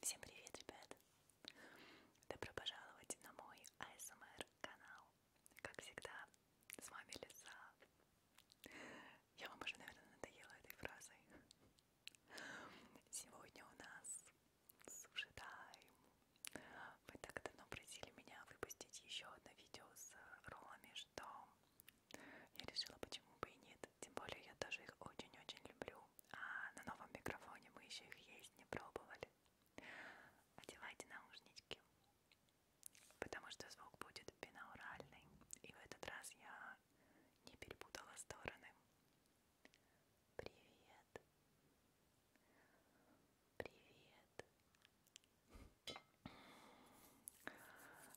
Всем привет, ребят! Добро пожаловать на мой ASMR канал. Как всегда, с вами Лиса. Я вам уже, наверное, надоела этой фразой. Сегодня у нас суши тайм. Вы так давно просили меня выпустить еще одно видео с роллами, что я решила, почему бы и нет. Тем более я тоже их очень-очень люблю. А на новом микрофоне мы еще их есть не пробовали. Одевайте наушнички, потому что звук будет бинауральный. И в этот раз я не перепутала стороны. Привет. Привет.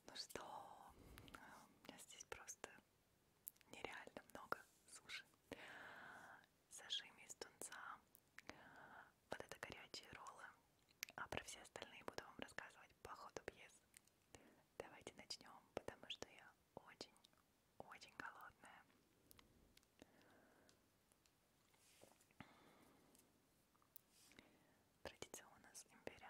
Ну что, у меня здесь просто нереально много суши. Сашими из тунца, вот это горячие роллы, а про все остальные буду вам рассказывать по ходу пьес. Давайте начнем, потому что я очень-очень голодная. Традиционно с имбиря.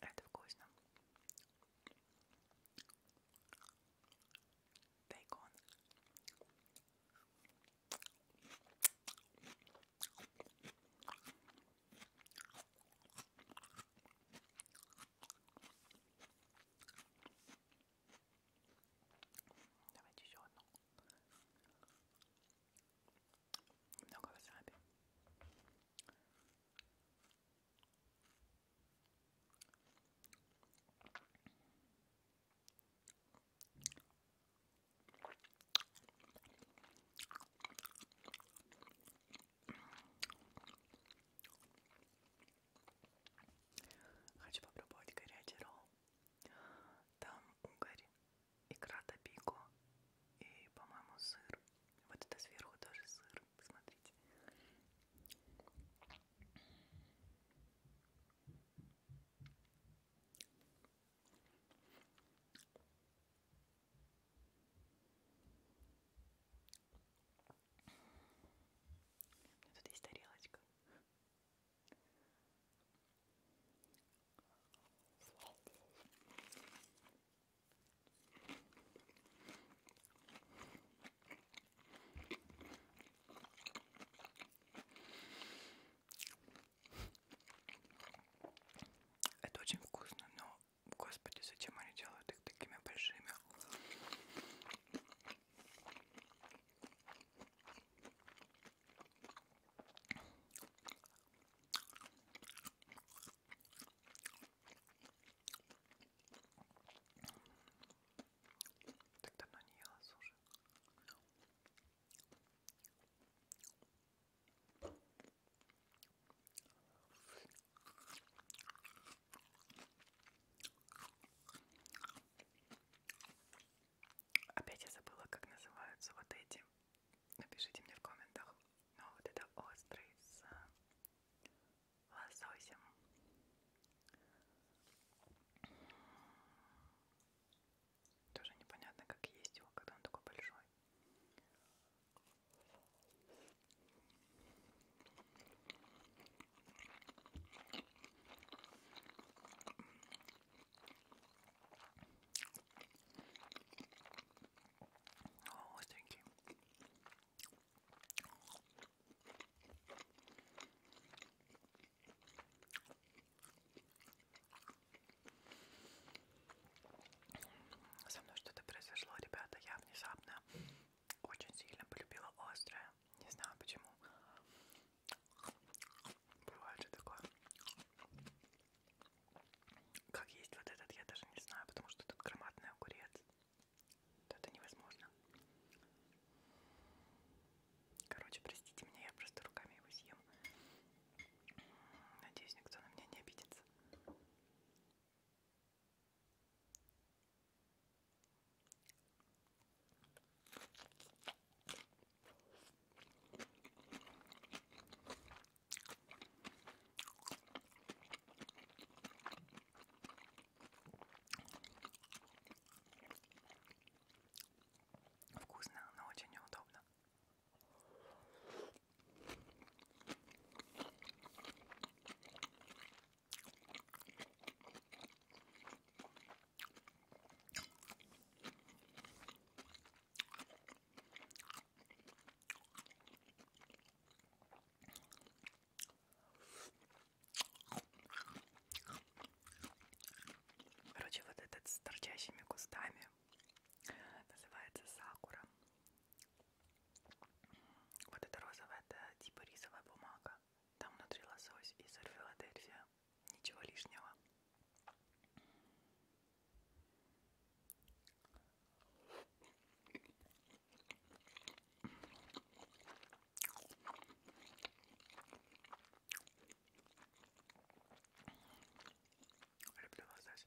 Это вкусно. Бейкон. Давайте еще одну немного васаби. Хочу попробовать горячий ролл. Там угорь икра топико и, по-моему, сыр. Вот это сверху тоже сыр, посмотрите. Тут есть тарелочка. Это очень вкусно, но, господи, зачем они делают их такими большими? Так давно не ела суши. Опять я забыла, как называются вот эти Напишите мне в комментах. Но ну, вот это острый с лососем. Тоже непонятно, как есть его, когда он такой большой остренький. Со мной что-то произошло, ребята. Я внезапно очень сильно полюбила острое. Не знаю почему. Бывает же такое. Как есть вот этот, я даже не знаю, потому что тут громадный огурец. Это невозможно. Короче, простите меня, я просто руками его съем. Надеюсь, никто на меня не обидится. Вкусно, но очень неудобно. Короче, вот этот с торчащими кустами называется сакура. Вот это розовая, это типа рисовая бумага. Там внутри лосось из Филадельфия. Ничего лишнего. Люблю вас здесь.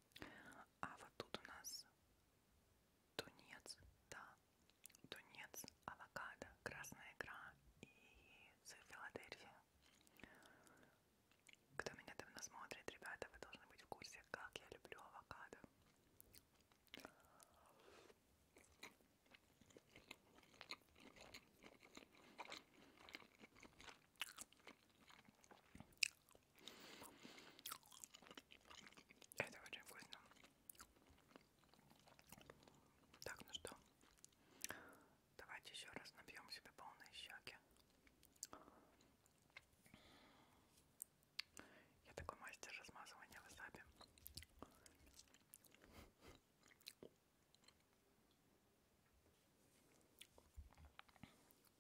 А вот тут у нас тунец, да, тунец, авокадо, красная икра и сыр Филадельфия. Кто меня давно смотрит, ребята, вы должны быть в курсе, как я люблю авокадо. Это очень вкусно. Так, ну что, давайте еще раз набьем себе полные щеки. Я такой мастер размазывания васаби.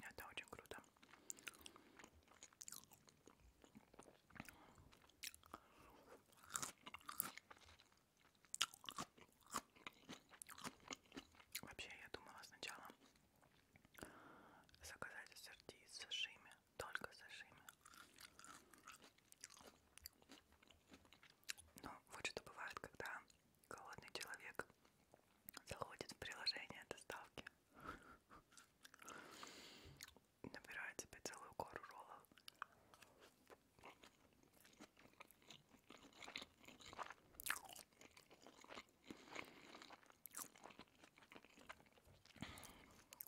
Это очень круто. Вообще, я думала сначала заказать ассорти с сашими, только сашими. Но вот что бывает, когда голодный человек заходит в приложение доставки, набирает себе целую гору роллов.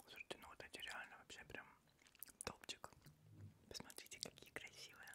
Слушайте, ну вот эти реально вообще прям топчик. Посмотрите, какие красивые.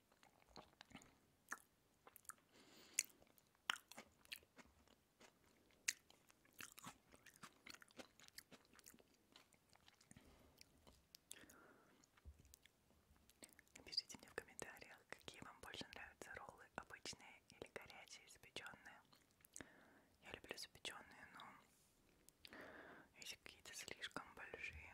Пишите мне в комментариях, какие вам больше нравятся роллы, обычные или горячие, запеченные. Я люблю запеченные, но если какие-то слишком большие,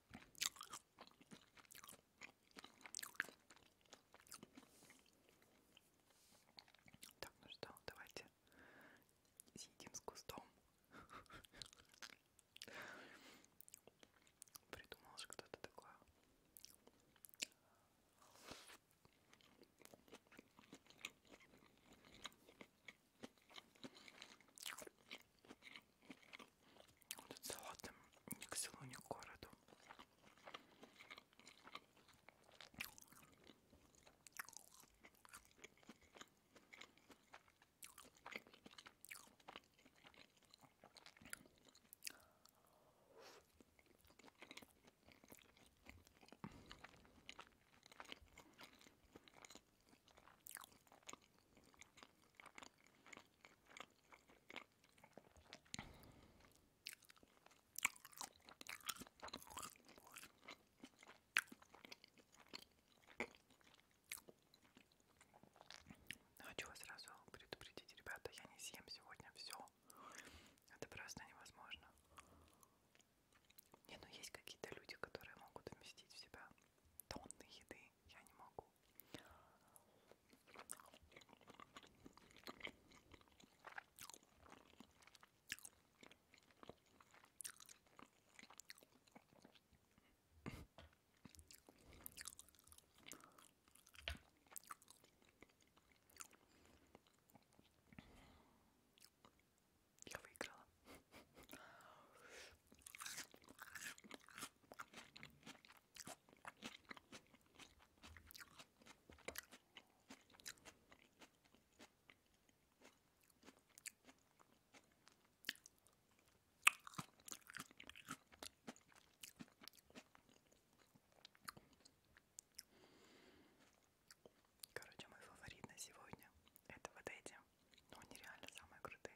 Так, ну что, давайте съедим с кустом. Придумал же кто-то такое этот салат ни к селу, ни к городу. Хочу ну, а сразу предупредить, ребята, я не съем сегодня все. Это просто невозможно. Не, ну есть какие-то люди, которые могут вместить в себя тонны еды я не могу. Я выиграла. Короче, мой фаворит на сегодня это вот эти но они реально самые крутые.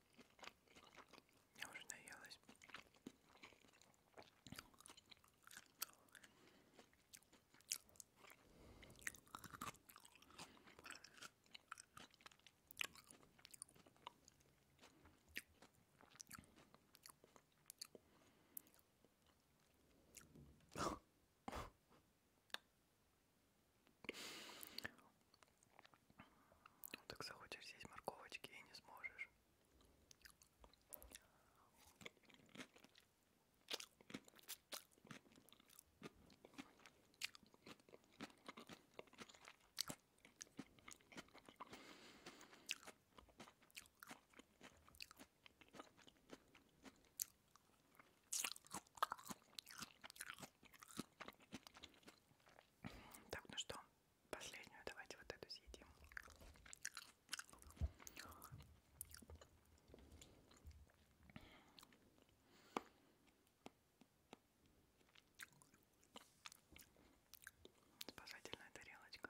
Я уже наелась. Ну, так захочешь здесь морковочки и не сможешь. Так, ну что, Последнюю давайте вот эту съедим. Спасательная тарелочка.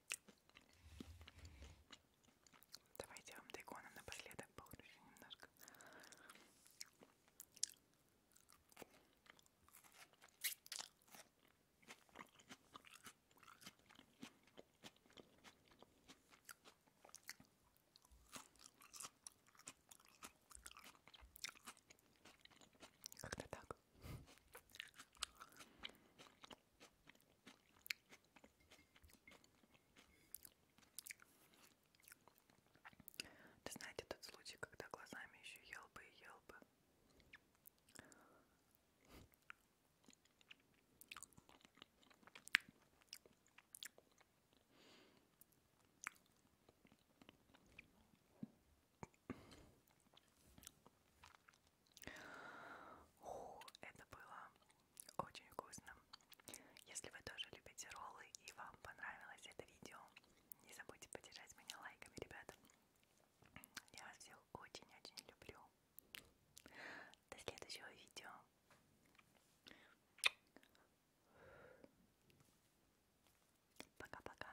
Давайте я вам тайконом напоследок покручу немножко. Как-то так. Ты знаете тот случай, когда глазами еще ел бы и ел бы. Фу, это было очень вкусно. Если вы тоже любите роллы и вам понравилось это видео, не забудьте поддержать меня лайками, ребята. Я вас всех очень-очень люблю. До следующего видео. Пока-пока.